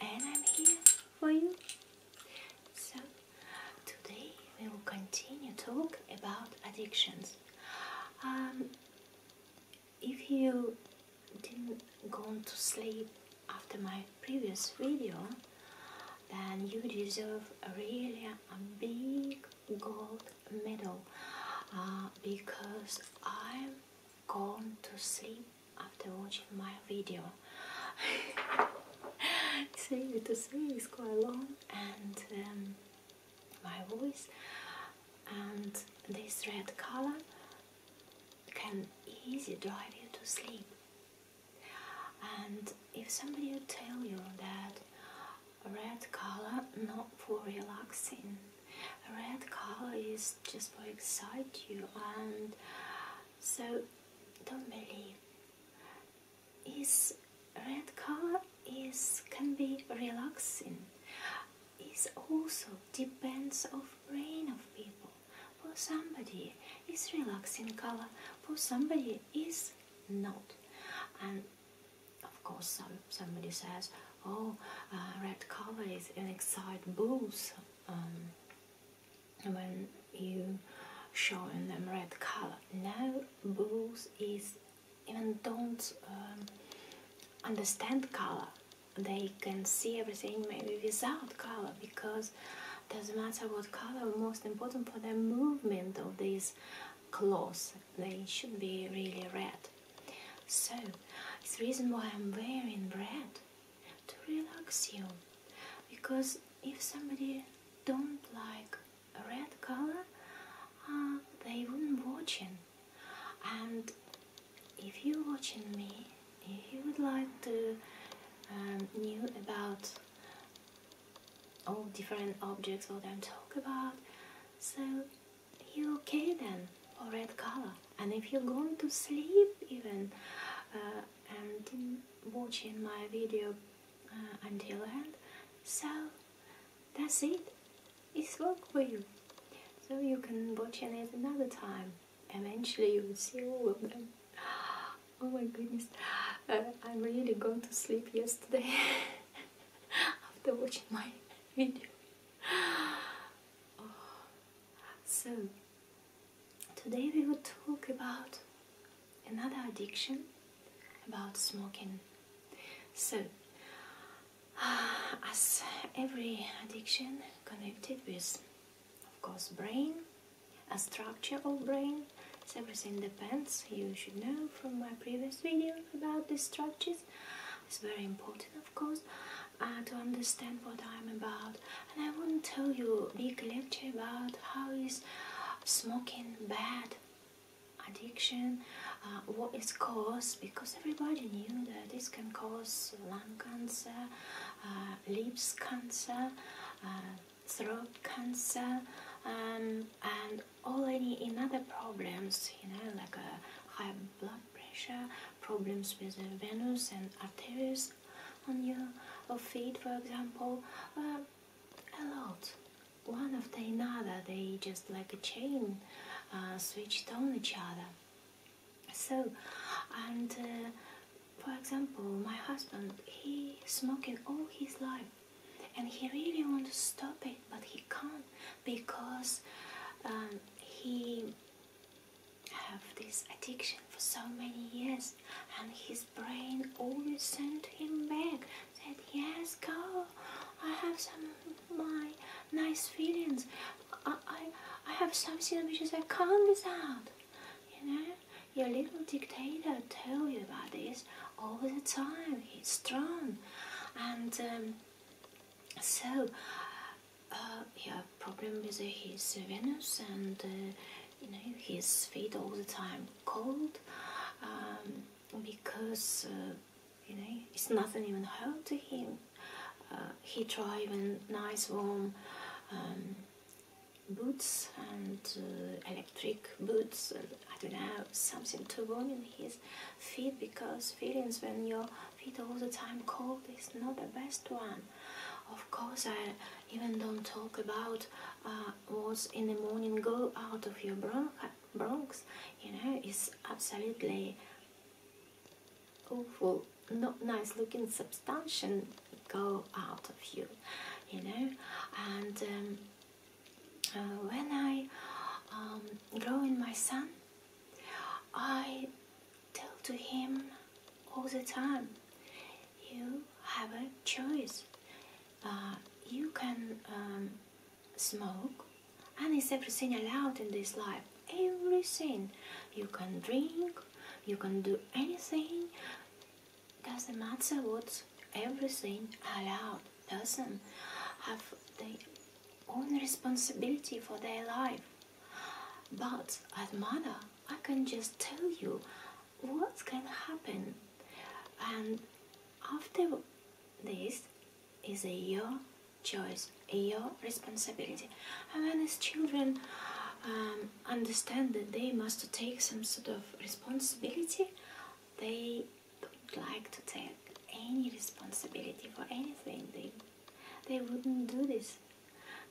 and I'm here for you. So, today we will continue talk about addictions. Um, if you didn't go to sleep after my previous video, then you deserve a really a big gold medal uh, because I'm gone to sleep after watching my video. it's really to say is quite long and um, my voice and this red color can easily drive you to sleep. And if somebody tell you that red color not for relaxing red color is just for excite you and so don't believe is red color is can be relaxing is also depends of brain of people for somebody is relaxing color for somebody is not and of course some, somebody says oh uh, red color is an excite boost um, when you showing them red color. Now bulls is even don't um, understand color. They can see everything maybe without color because doesn't matter what color. Most important for the movement of these clothes, they should be really red. So it's the reason why I'm wearing red to relax you because if somebody don't like red color uh, they wouldn't watch it. and if you watching me if you would like to um, know about all different objects what I'm talking about so you okay then for red color and if you're going to sleep even uh, and watching my video uh, until end so that's it it's work for you so you can watch it another time eventually you will see all of them oh my goodness uh, i'm really going to sleep yesterday after watching my video oh, so Today we will talk about another addiction, about smoking. So, uh, as every addiction connected with, of course, brain, a structure of brain, everything depends. You should know from my previous video about these structures. It's very important, of course. Uh, to understand what I'm about. And I won't tell you big lecture about how is smoking bad, addiction, uh, what is is cause, because everybody knew that this can cause lung cancer, uh, lips cancer, throat cancer, um, and all any other problems, you know, like high blood pressure, problems with the venous and arteries, on your feet, for example, uh, a lot. One after another, they just like a chain uh, switched on each other. So, and uh, for example, my husband, he smoking all his life, and he really want to stop it, but he can't because um, he have this addiction for so many years and his brain always sent him back that yes go I have some my nice feelings I, I, have some which I can't without you know your little dictator tell you about this all the time he's strong and um, so uh, yeah, problem with uh, his Venus and uh, you know his feet all the time cold um, because uh, you know it's nothing even hurt to him. he try even nice warm um, boots and electric boots I don't know something to warm in his feet because feelings when you're feed all the time cold is not the best one. Of course, I even don't talk about uh, what's in the morning go out of your bronchs. You know, it's absolutely awful, not nice looking substance go out of you. You know, and um, uh, when I um, grow in my son, I tell to him all the time you have a choice uh, you can um, smoke and it's everything allowed in this life everything you can drink you can do anything doesn't matter what everything allowed person have their own responsibility for their life but as mother I can just tell you what's going to happen. And after this is your choice, your responsibility. And when these children um, understand that they must take some sort of responsibility, they don't like to take any responsibility for anything. They, they wouldn't do this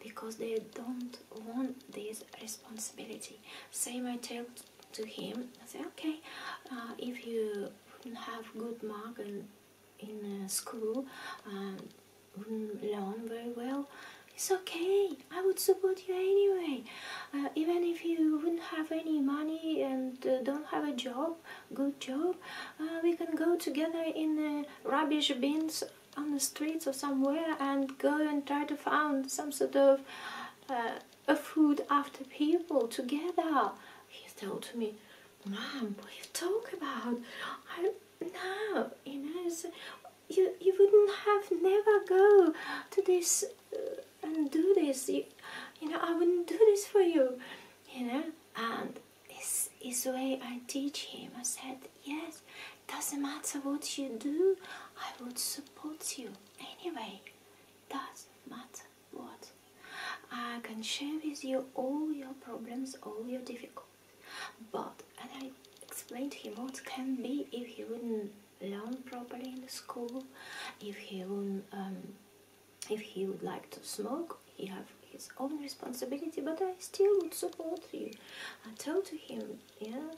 because they don't want this responsibility. Same I tell to him, I say, okay, uh, if you have good mark in, uh, school, um, learn very well, it's okay, I would support you anyway. Uh, even if you wouldn't have any money and don't have a job, good job, we can go together in rubbish bins on the streets or somewhere and go and try to find some sort of uh, a food after people together. He told to me, Mom, what you talk about? I no, you know, so you you wouldn't have never go to this uh, and do this. you know, I wouldn't do this for you. You know, and this is the way I teach him. I said, yes, doesn't matter what you do, I would support you anyway. Doesn't matter what. I can share with you all your problems, all your difficulties. But, and I explained to him what can be if he wouldn't learn properly in the school, if he would um, if he would like to smoke, he have his own responsibility, but I still would support you. I tell to him, yeah,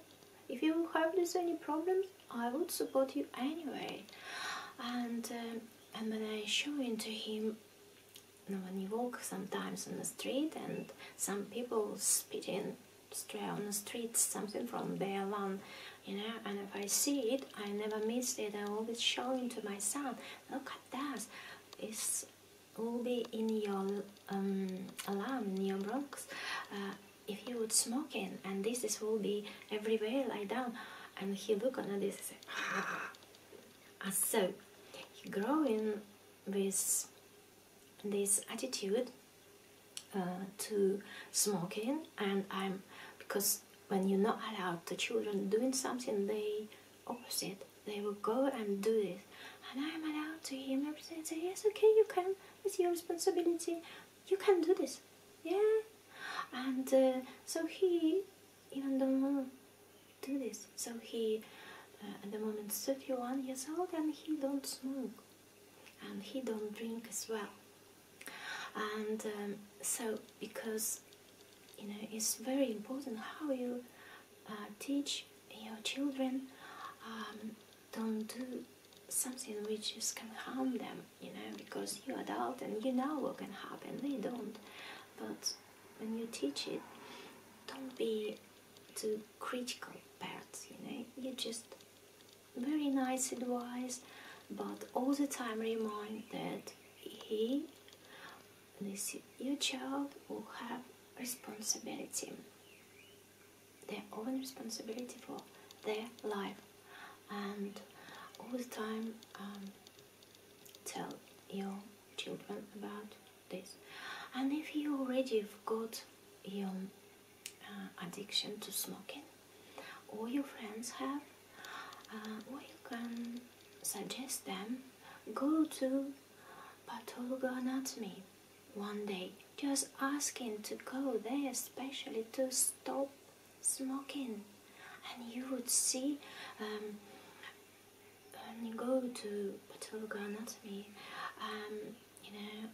if you have this any problems, I would support you anyway. And uh, and when I show into him, when he walk sometimes on the street and some people spitting stray on the street something from their lawn, you know, and if I see it, I never miss it. I always showing to my son, look at that. It's will be in your um, alarm, in your bronchus, uh, if you would smoking, and this is will be everywhere, lie down, and he look on this and say, ah. And so, growing with this attitude uh, to smoking, and I'm because when you're not allowed the children doing something, they opposite they will go and do this. And I'm allowed to hear everything. and say, yes, okay, you can. It's your responsibility. You can do this. Yeah. And uh, so he even don't do this. So he uh, at the moment 31 years old and he don't smoke and he don't drink as well. And um, so because you know it's very important how you uh, teach your children um, don't do something which can harm them, you know, because you're adult and you know what can happen. They don't. But when you teach it, don't be too critical parents, you know. You just very nice advice, but all the time remind that he this new child will have responsibility, their own responsibility for their life, and all the time um, tell your children about this. And if you already got your uh, addiction to smoking, or your friends have, uh, you can suggest them go to but all go not me. One day, just asking to go there especially to stop smoking. And you would see um, and go to pathological anatomy, um, you know,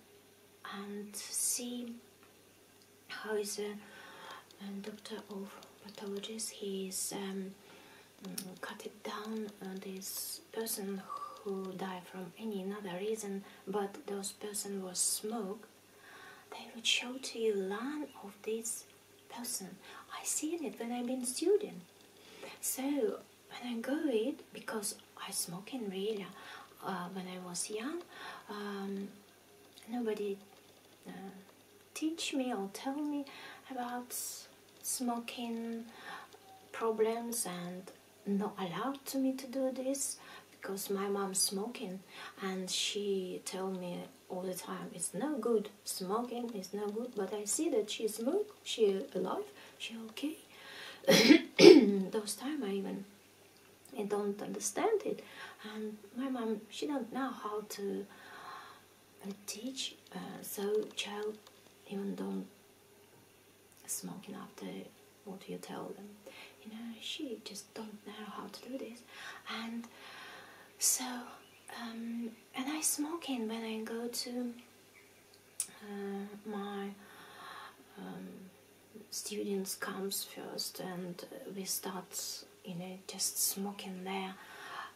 and see how is a, um, doctor of pathologist. He is um, Mm, cut it down uh, this person who died from any another reason but those person was smoke they would show to you line of this person i seen it when i been student so when i go it because i smoking really uh, when i was young um, nobody uh, teach me or tell me about smoking problems and not allowed to me to do this because my mom's smoking and she tell me all the time it's no good smoking it's no good but i see that she smoke she alive she okay those time i even i don't understand it and my mom she don't know how to uh, teach uh, so child even don't smoking after what you tell them. You know, she just don't know how to do this. And so, um, and I smoking when I go to uh, my um, students comes first and uh, we start, you know, just smoking there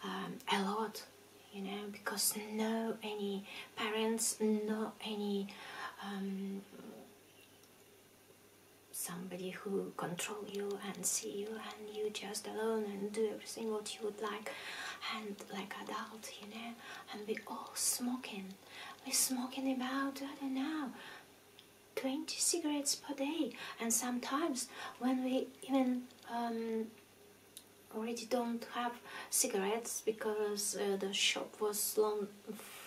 um, a lot you know because no any parents not any um, somebody who control you and see you and you just alone and do everything what you would like and like adult you know and we all smoking we smoking about i don't know 20 cigarettes per day and sometimes when we even um, already don't have cigarettes because uh, the shop was long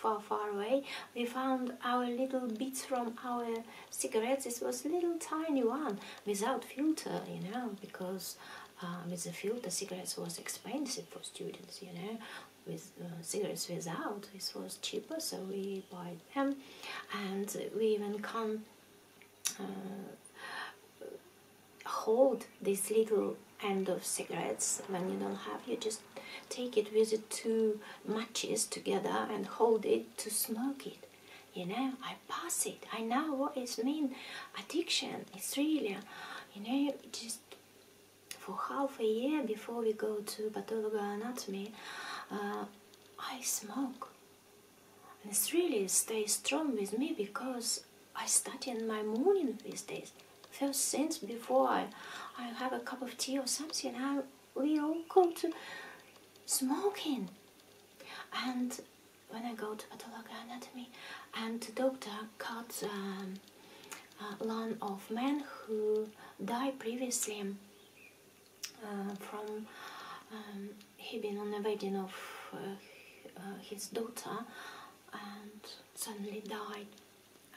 far far away we found our little bits from our cigarettes it was little tiny one without filter you know because uh, with the filter cigarettes was expensive for students you know with uh, cigarettes without it was cheaper so we buy them and we even come uh, hold this little end of cigarettes when you don't have you just take it with the two matches together and hold it to smoke it you know i pass it i know what what is mean addiction it's really you know just for half a year before we go to pathological anatomy uh, i smoke and it's really stay strong with me because I study in my morning these days. First since before I, I have a cup of tea or something, I, we all come to smoking. And when I go to pathological anatomy, and the doctor cuts um, a line of men who died previously uh, from um, he being on the wedding of uh, his daughter and suddenly died,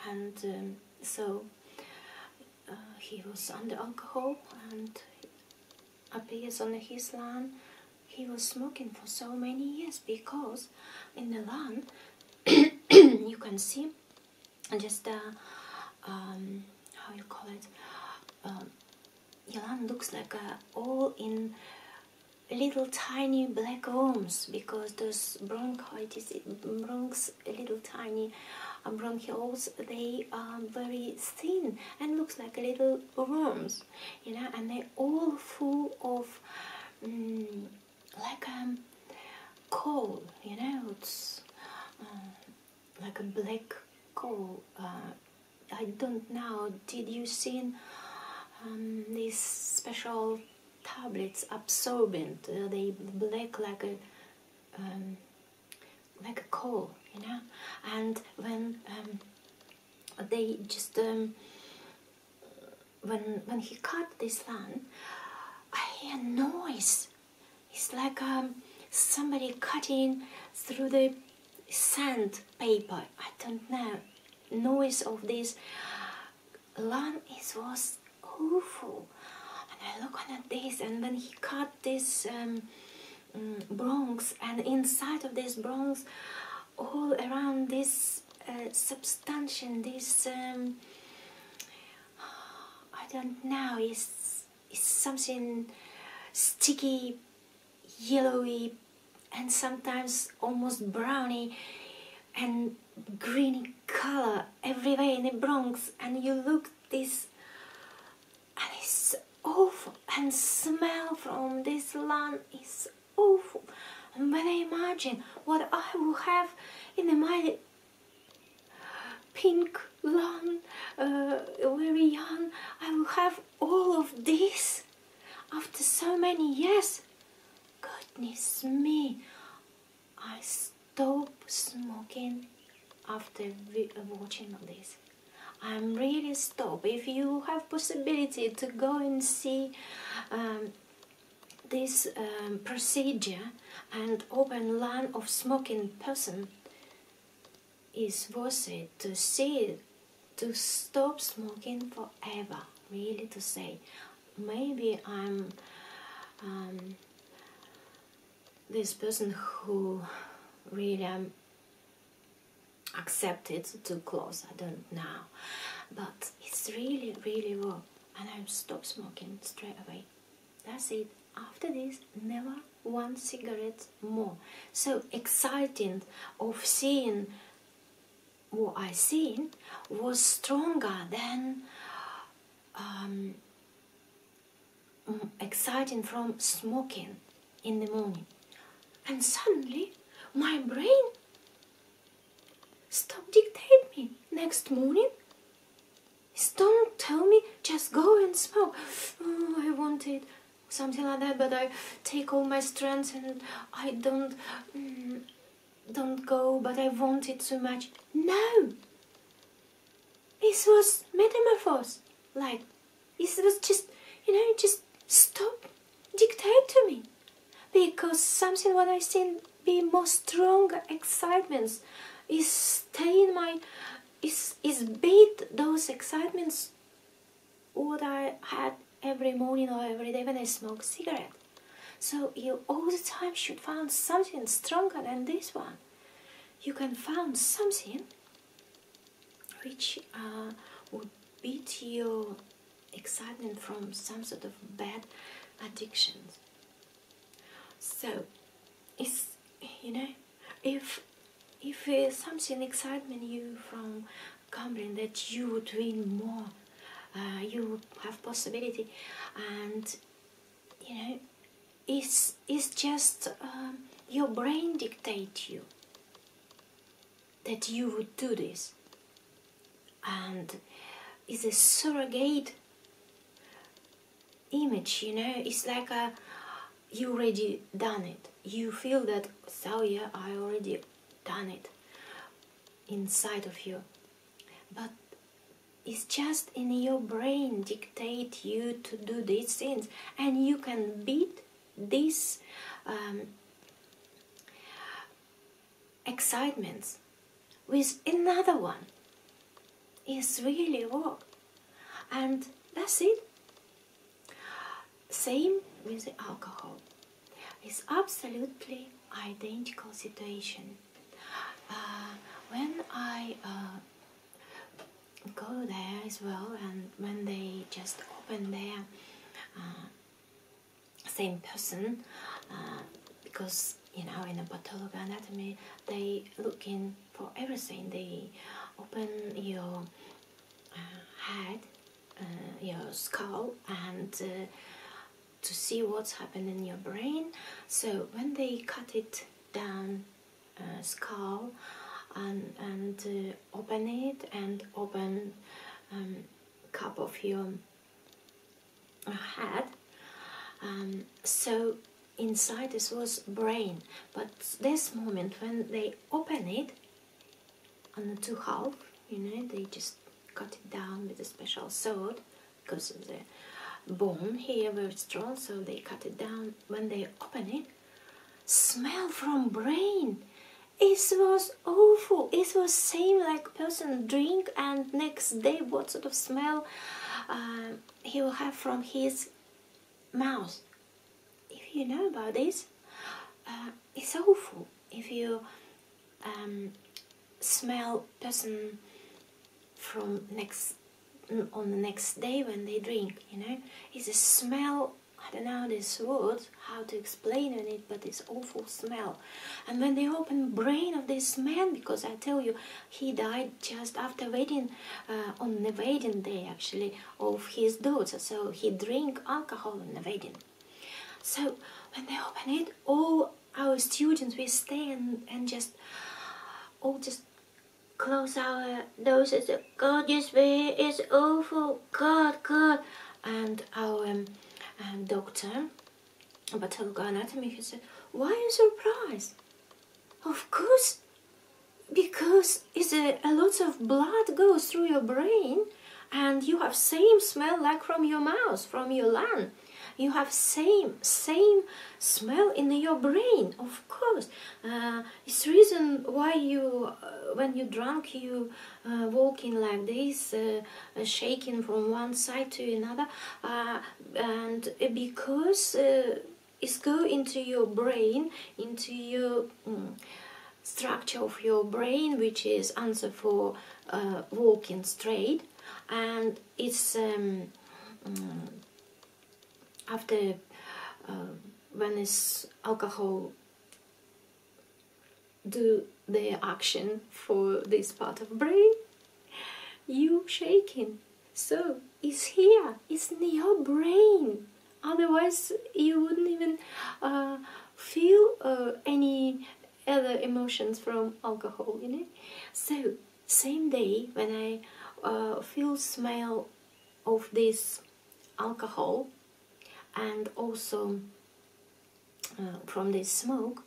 and um, so uh, he was under alcohol and appears on his land. He was smoking for so many years because in the land you can see just uh, um, how you call it. Um, Yalan looks like uh, all in little tiny black worms because those bronchitis bronchs little tiny uh, bronchioles they are very thin and looks like little worms you know and they're all full of mm, like a um, coal you know it's uh, like a black coal uh, I don't know, did you see um, these special tablets absorbent? Uh, they black like a um, like a coal, you know. And when um, they just when when he cut this land, I hear noise. It's like somebody cutting through the sand paper i don't know noise of this lawn is was awful and i look on at this and then he cut this um, mm, bronze and inside of this bronze all around this uh, substance this um, i don't know Is it's something sticky yellowy and sometimes almost browny and greeny color everywhere in the Bronx and you look this and it's awful and smell from this land is awful and when I imagine what I will have in my pink lawn uh, very young I will have all of this after so many years, goodness me, I stopped smoking after uh, watching this. I'm really stop. If you have possibility to go and see um, this um, procedure and open line of smoking person is worth it to see to stop smoking forever really to say maybe i'm um, this person who really um, accepted too close i don't know but it's really really wrong, and i stop smoking straight away that's it after this never one cigarette more so exciting of seeing what I seen was stronger than um, exciting from smoking in the morning. And suddenly my brain stopped dictate me. Next morning, don't tell me, just go and smoke. Oh, I wanted something like that, but I take all my strength and I don't Mm, don't go, but I want it so much. No! This was metamorphose. Like, this was just, you know, just stop, dictate to me. Because something what I seen be more strong excitements is stay in my, is, is beat those excitements what I had every morning or every day when I smoke cigarette. So you all the time should find something stronger than this one. You can find something which uh, would beat your excitement from some sort of bad addictions. So, it's, you know, if if uh, something excites you from gambling that you would win more uh, you have possibility and you know it's, it's just um, your brain dictates you that you would do this and it's a surrogate image you know it's like a you already done it you feel that so yeah i already done it inside of you but it's just in your brain dictate you to do these things and you can beat these um, excitements with another one it's really work and that's it same with the alcohol it's absolutely identical situation. Uh, when I uh, go there as well, and when they just open their uh, same person, because you know in a pathology anatomy they look in for everything. They open your head uh, your skull and uh, to see what's happened in your brain. So when they cut it down uh, skull and, and open it and open um, cup of your head. Um, so inside this was brain, but this moment when they open it, on the two half you know they just cut it down with a special sword because of the bone here where it's strong so they cut it down when they open it smell from brain it was awful it was same like person drink and next day what sort of smell uh, he will have from his mouth if you know about this uh, it's awful if you um, smell person from next on the next day when they drink you know it's a smell I don't know this word how to explain it but it's awful smell and when they open brain of this man because I tell you he died just after wedding uh, on the wedding day actually of his daughter so he drink alcohol on the wedding so when they open it, all our students we stay and, and just all just close our noses. God, this way is awful. God, God. And our um, um, doctor, pathological anatomy, he said, why are surprise? Of course, because is a, a lot of blood goes through your brain and you have same smell like from your mouth, from your lung. You have same, same smell in your brain, of course. Uh, it's reason why you, uh, when you drunk, you uh, walking like this, uh, shaking from one side to another, and because it's go into your brain, into your... Mm, structure of your brain which is answer for uh, walking straight and it's um, mm, after uh, when is alcohol do the action for this part of brain you shaking so it's here it's in your brain otherwise you wouldn't even uh, feel uh, any other emotions from alcohol, you know. So same day when I uh, feel smell of this alcohol and also uh, from this smoke,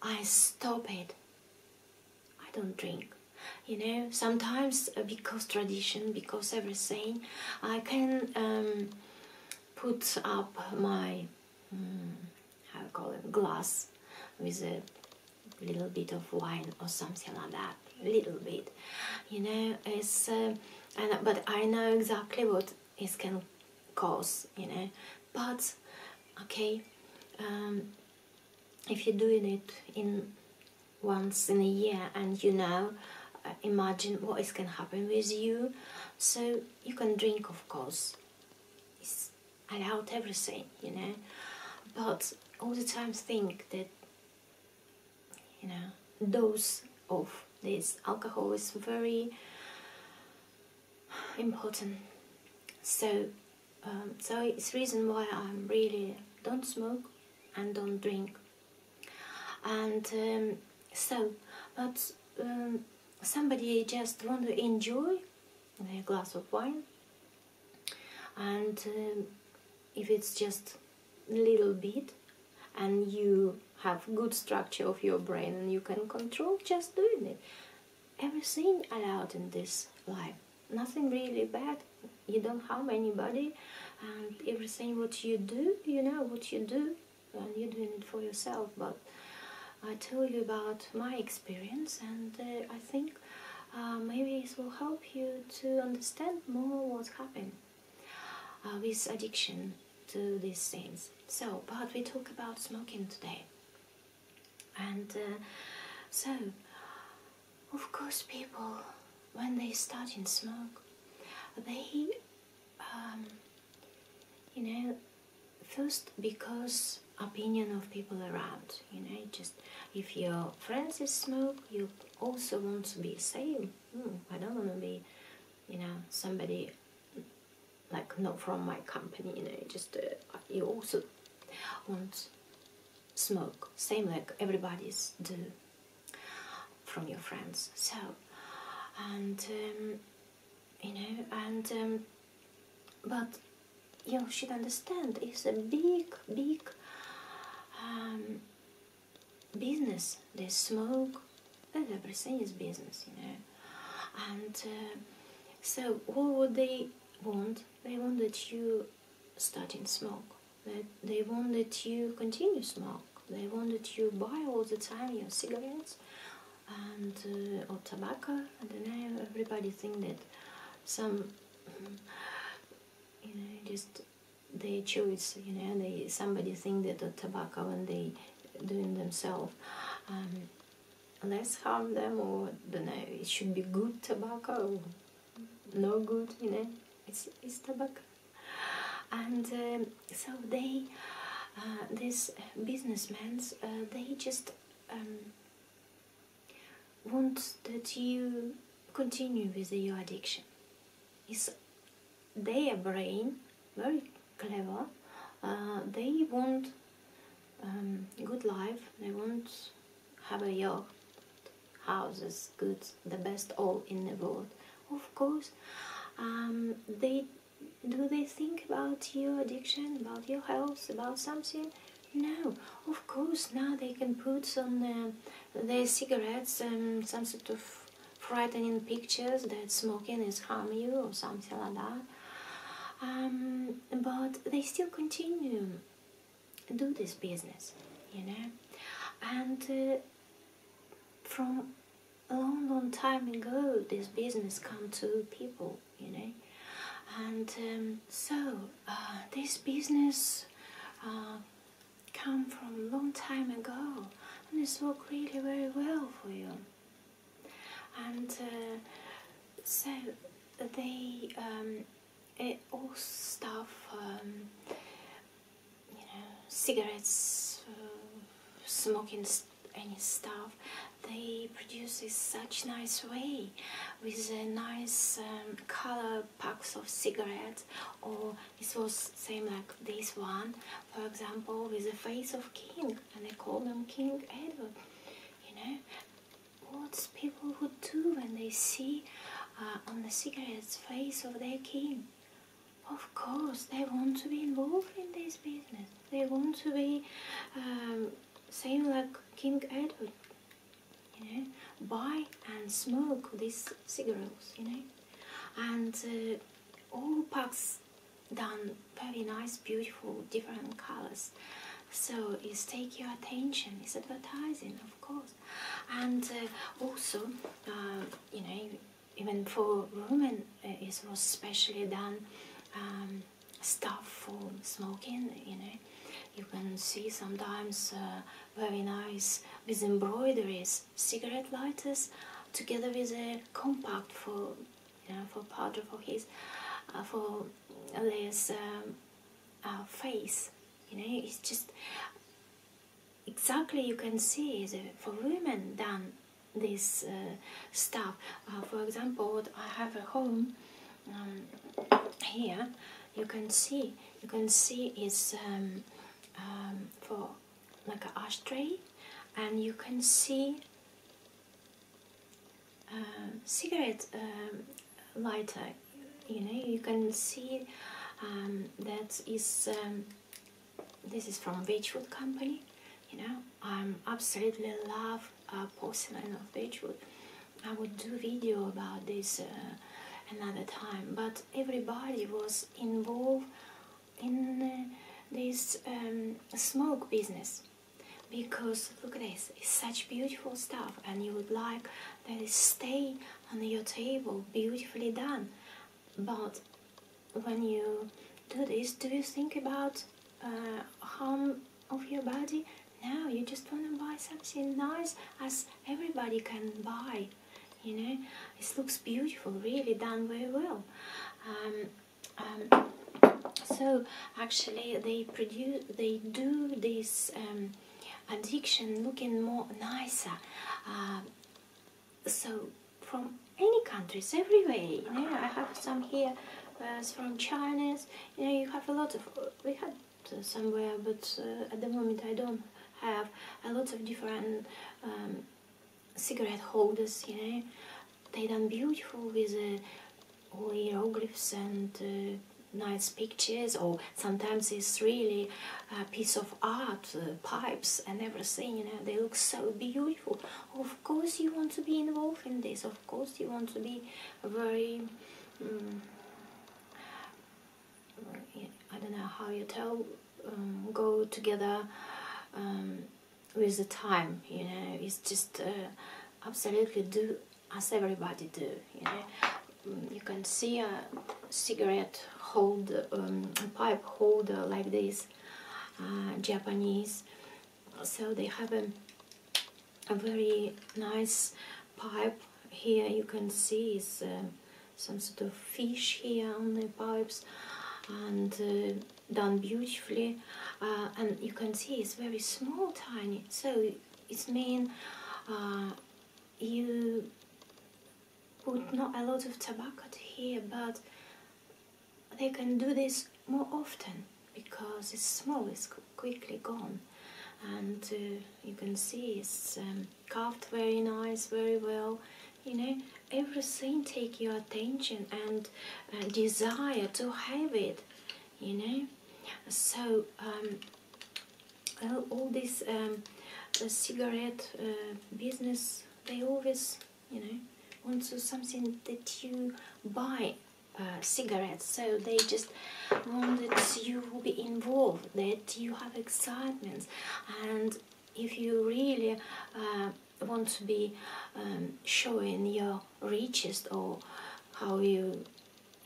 I stop it. I don't drink. You know, sometimes uh, because tradition, because everything, I can um, put up my mm, how you call it glass with a little bit of wine or something like that A little bit you know it's uh, but I know exactly what it can cause you know but okay um, if you're doing it in once in a year and you know uh, imagine what is can happen with you so you can drink of course it's allowed everything you know but all the time think that you know dose of this alcohol is very important so um, so it's reason why I'm really don't smoke and don't drink and um, so but um, somebody just want to enjoy a glass of wine and um, if it's just a little bit and you have good structure of your brain and you can control just doing it everything allowed in this life nothing really bad you don't harm anybody and everything what you do you know what you do and you're doing it for yourself but I told you about my experience and uh, I think uh, maybe it will help you to understand more what's happening uh, with addiction to these things so but we talk about smoking today and so of course people when they start in smoke they um, you know, first because opinion of people around, you know, just if your friends is smoke, you also want to be same. Hmm, I don't want to be, you know, somebody like not from my company, you know, just uh, you also want smoke, same like everybody's do from your friends. So, and um, you know, and um, but you should understand it's a big, big um, business. They smoke, and everything is business, you know, and uh, so what would they want? They want that you start in smoke. they want that you continue smoke. They want that you buy all the time your cigarettes, and uh, or tobacco. I don't know. Everybody think that some, you know, just they choose. You know, they somebody think that the tobacco when they doing themselves. Um, less harm them or don't know it should be good tobacco no good you know it's, it's tobacco and um, so they, uh, these businessmen, uh, they just um, want that you continue with your addiction. It's their brain, very clever. Uh, they want um, good life. They want have a yacht, houses, goods, the best all in the world. Of course, um, they do they think about your addiction, about your health, about something? No, of course now they can put on uh, cigarettes and some sort of frightening pictures that smoking is harm you or something like that. Um, but they still continue do this business, you know. And uh, from a long, long time ago this business come to people, you know. And um, so uh, this business uh, come from long time ago and it's worked really very well for you. And uh, so the um, it all stuff, um, you know, cigarettes, uh, smoking stuff any stuff they produce in such nice way with a nice um, color packs of cigarettes or this was same like this one for example with the face of king and they call them king edward you know what people would do when they see uh, on the cigarettes face of their king of course they want to be involved in this business they want to be um, same like King Edward, you know, buy and smoke these cigarettes, you know, and uh, all packs done very nice, beautiful, different colors. So it's take your attention. It's advertising, of course, and uh, also uh, you know even for women uh, it was specially done um, stuff for smoking you know you can see sometimes uh, very nice with embroideries cigarette lighters together with a compact for you know for powder for his uh, for this um, face you know it's just exactly you can see the, for women done this uh, stuff. Uh, for example, I have a home um, here, you can see, you can see is um, um, for like an ashtray, and you can see cigarette lighter. You know, you can see that is this is from Wedgwood company. You know, I absolutely love uh, porcelain of Wedgwood. I would do video about this uh, another time, but everybody was involved in uh, this um, smoke business because look at this, it's such beautiful stuff and you would like that it stay on your table beautifully done, but when you do this, do you think about uh, harm of your body? Now you just want to buy something nice as everybody can buy. You know, it looks beautiful, really done very well. Um, um, so actually, they produce, they do this um, addiction looking more nicer. Uh, so from any countries, everywhere. You know, I have some here uh, from Chinese. You know, you have a lot of. Uh, we had uh, somewhere, but at the moment I don't have a lot of different um, cigarette holders. You know, they done beautiful with all hieroglyphs and nice pictures or sometimes it's really a piece of art pipes and everything you know they look so beautiful of course you want to be involved in this of course you want to be very um, I don't know how you tell um, go together um, with the time you know it's just uh, absolutely do as everybody do you can see a cigarette hold a pipe holder like this uh, Japanese so they have a, very nice pipe here you can see is uh, some sort of fish here on the pipes and uh, done beautifully uh, and you can see it's very small tiny so it's mean you put not a lot of tobacco here but they can do this more often because it's small, it's quickly gone. And uh, you can see it's um, carved very nice, very well. You know, everything take your attention and uh, desire to have it, you know. So, um, all this um, cigarette uh, business, they always you know, onto something that you buy uh, cigarettes. So they just want that you will be involved, that you have excitement, and if you really uh, want to be um, showing your richest or how you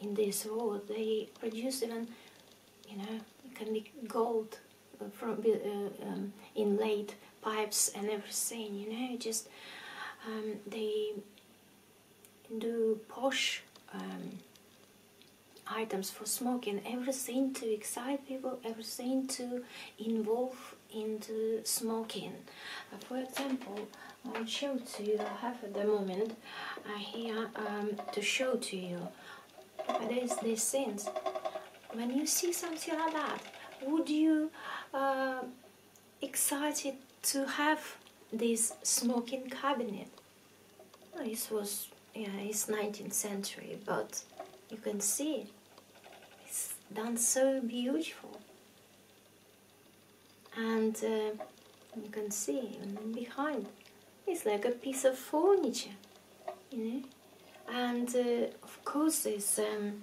in this world, they produce even, you know, can be gold uh, from uh, um, inlaid pipes and everything, you know, just um, they do posh um, items for smoking, everything to excite people, everything to involve into smoking. Uh, for example, I'll show to you, I have at the moment uh, here um, to show to you. Uh, there's these things. When you see something like that, would you uh, excited to have this smoking cabinet. Oh, this was, yeah, it's 19th century, but you can see it's done so beautiful. And uh, you can see behind, it's like a piece of furniture, you know. And uh, of course, there's. Um,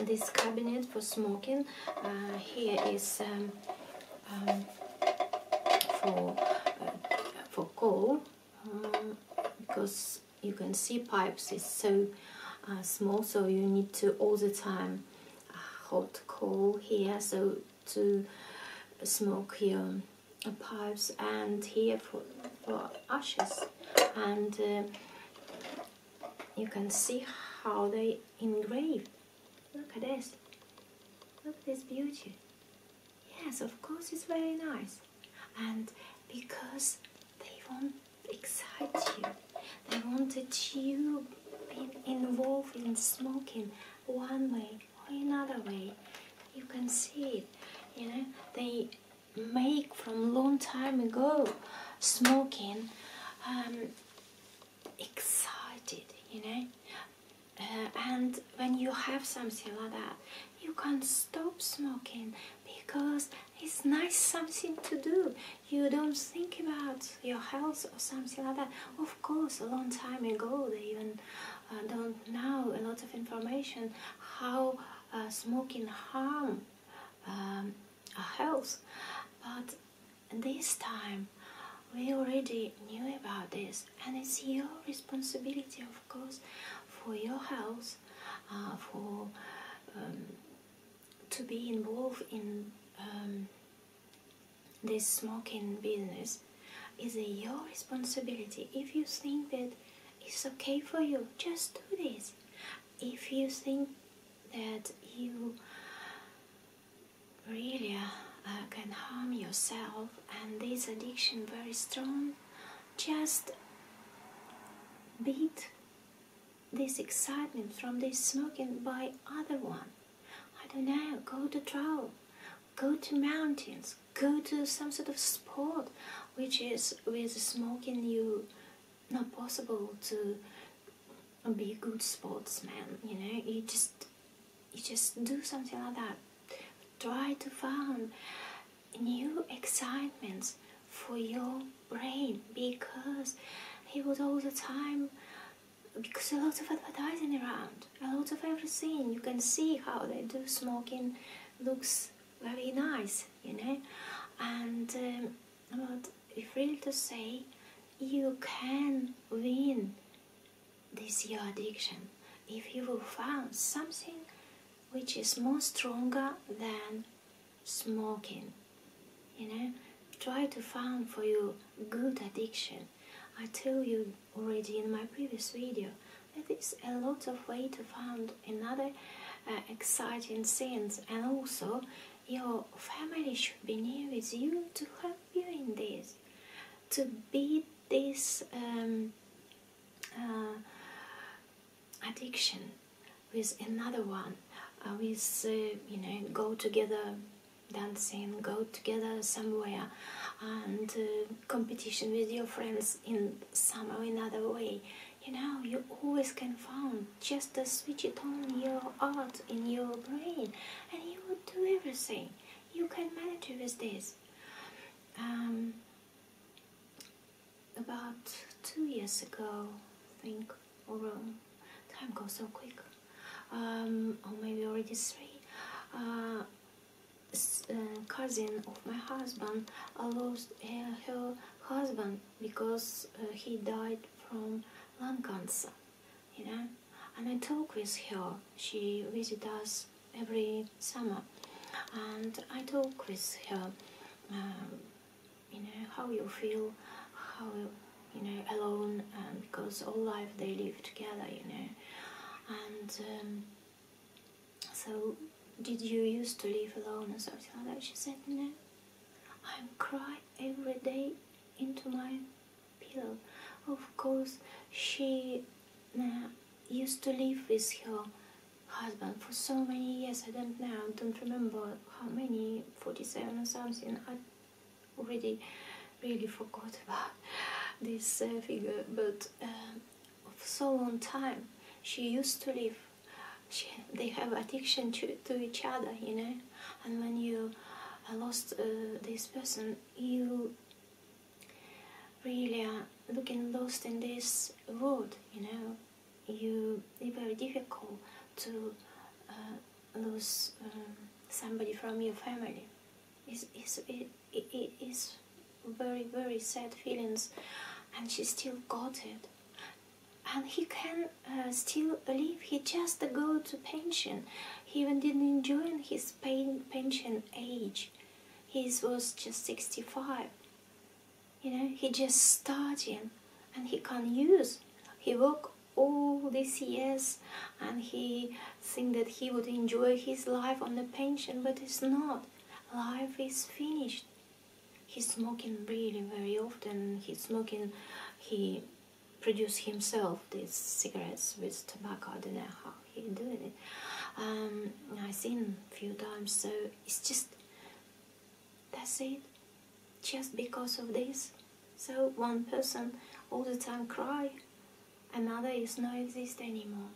this cabinet for smoking. Uh, here is um, um, for uh, for coal uh, because you can see pipes is so small, so you need to all the time hot coal here so to smoke your pipes and here for for ashes and you can see how they engraved. Look at this. Look at this beauty. Yes, of course it's very nice. And because they want to excite you, they wanted you being involved in smoking one way or another way. You can see it. You know, they make from long time ago smoking um, excited you know uh, and when you have something like that you can't stop smoking because it's nice something to do you don't think about your health or something like that of course a long time ago they even uh, don't know a lot of information how uh, smoking harm um, a house but this time we already knew about this and it's your responsibility of course for your house uh, for um, to be involved in um, this smoking business is your responsibility if you think that it's okay for you just do this if you think that you really uh, can harm yourself and this addiction very strong just beat this excitement from this smoking by other one i don't know go to travel go to mountains go to some sort of sport which is with smoking you not possible to be a good sportsman you know you just you just do something like that try to find new excitements for your brain because he was all the time because a lot of advertising around a lot of everything you can see how they do smoking looks very nice you know and um, but if really to say, you can win this your addiction if you will find something which is more stronger than smoking. You know, try to find for you good addiction. I tell you already in my previous video that is a lot of way to find another uh, exciting scenes and also your family should be near with you to help you in this to beat this um, uh, addiction with another one uh, with uh, you know go together dancing go together somewhere and competition with your friends in some or another way you know, you always can find just to switch it on your art in your brain, and you will do everything. You can manage with this. Um, about two years ago, I think, or um, time goes so quick, um, or maybe already three. Uh, uh, cousin of my husband I uh, lost her husband because uh, he died from lung cancer, you know. And I talk with her. She visits us every summer, and I talk with her. Um, you know how you feel, how you know alone, because all life they live together, you know. And um, so, did you used to live alone or something like that? She said no i cry every day into my pillow. Of course, she used to live with her husband for so many years. I don't know, I don't remember how many, 47 or something. I already really forgot about this uh, figure, but um, for so long time she used to live they have addiction to, to each other, you know. And when you uh, lost uh, this person, you really are looking lost in this world, you know. You it's very difficult to uh, lose um, somebody from your family. It's, it's, it, it is very very sad feelings, and she still got it and he can uh, still live. He just go to pension. He even didn't enjoy his pension age. He was just 65. You know, he just starting and he can't use. He work all these years and he think that he would enjoy his life on the pension, but it's not. Life is finished. He's smoking really very often. He's smoking, he produce himself these cigarettes with tobacco. I don't know how he's doing it. Um, I seen few times, so it's just that's it. Just because of this, so one person all the time cry, another is not exist anymore.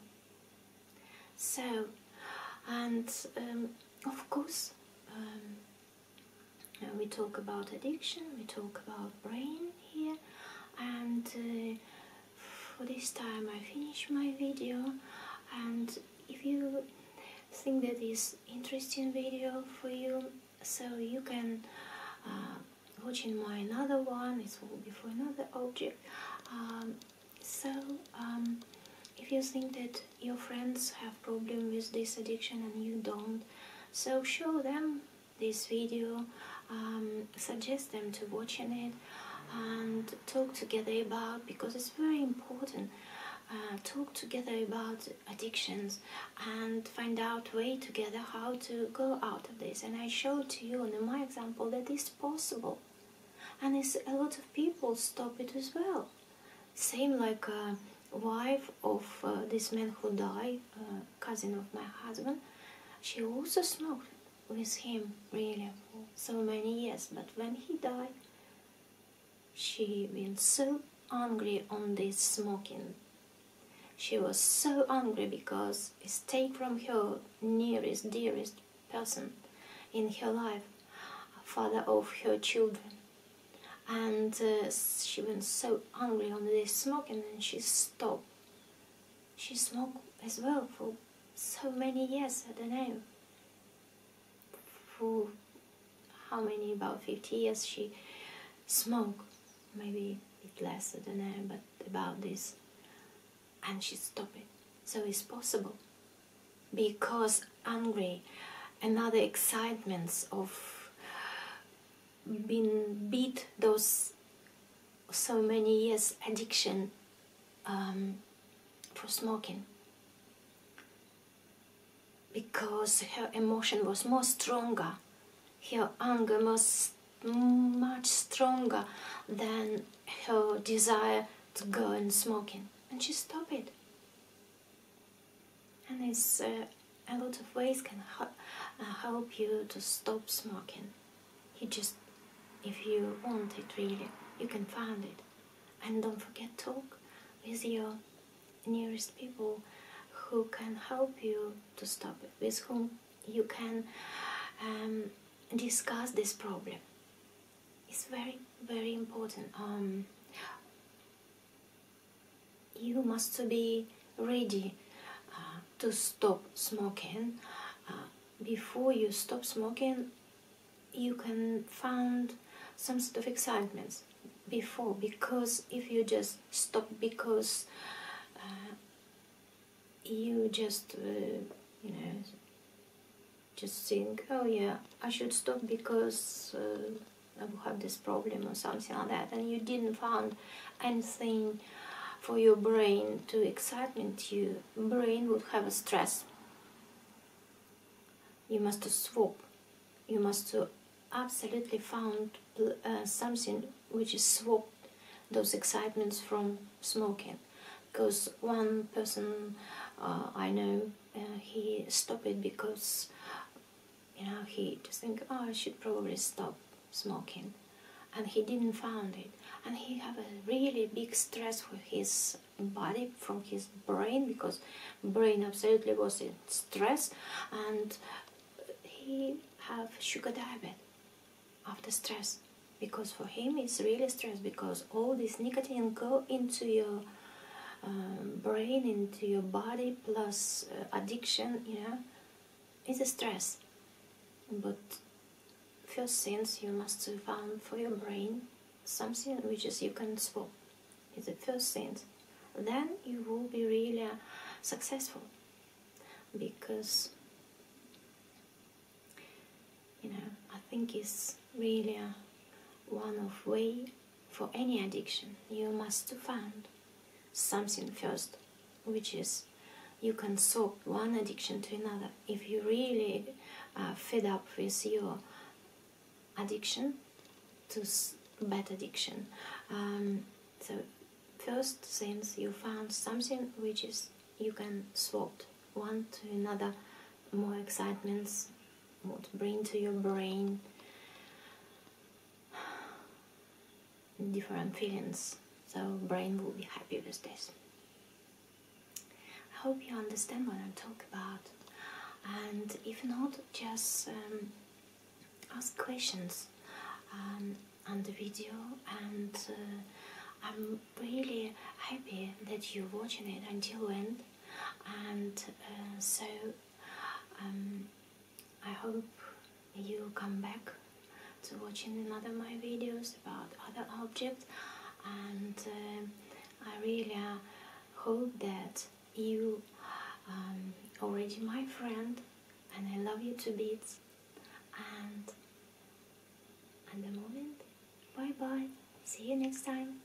So, and um, of course, um, uh, we talk about addiction, we talk about brain here, and uh, for this time I finish my video. And if you think that is interesting video for you, so you can uh, watch in my another one. It will be for another object. Um, so um, if you think that your friends have problem with this addiction and you don't so show them this video um, suggest them to watching it and talk together about because it's very important uh, talk together about addictions and find out way together how to go out of this and i showed to you in my example that it's possible and a lot of people stop it as well same like uh, wife of uh, this man who died, uh, cousin of my husband, she also smoked with him really for so many years. But when he died, she was so angry on this smoking. She was so angry because it's taken from her nearest, dearest person in her life, father of her children and uh, she went so angry on this smoke and then she stopped. She smoked as well for so many years, I don't know. For how many, about 50 years she smoked, maybe a bit less, I don't know, but about this. And she stopped it. So it's possible because angry and other excitements of being beat those so many years addiction um, for smoking because her emotion was more stronger her anger was much stronger than her desire to go and smoking and she stopped it and it's uh, a lot of ways can uh, help you to stop smoking. You just, if you want it really, you can find it. And don't forget talk with your nearest people who can help you to stop with whom you can um, discuss this problem. It's very, very important. Um, you must be ready uh, to stop smoking. Uh, before you stop smoking, you can find some sort of excitement before because if you just stop because uh, you just you know just think oh yeah i should stop because have this problem or something like that, and you didn't find anything for your brain to excitement Your brain would have a stress. You must swap. You must absolutely found uh, something which is swap those excitements from smoking. Because one person uh, I know, uh, he stopped it because you know, he just think, oh, I should probably stop smoking, and he didn't found it, and he have a really big stress for his body from his brain because brain absolutely was in stress, and he have sugar diabetes after stress because for him it's really stress because all this nicotine go into your um, brain into your body plus uh, addiction yeah it's a stress but first things you must find for your brain something which is you can swap It's the first thing then you will be really uh, successful because you know i think it's really uh, one of way for any addiction, you must find something first, which is you can swap one addiction to another. If you really are uh, fed up with your addiction to bad addiction, um, so first since you found something which is you can swap one to another, more excitements, what bring to your brain different feelings so brain will be happy with this i hope you understand what i'm talking about and if not just um, ask questions um, on the video and uh, i'm really happy that you're watching it until end and uh, so um, I hope you come back to watching another my videos about other objects and uh, I really uh, hope that you um, already my friend and I love you to bits and at the moment bye bye see you next time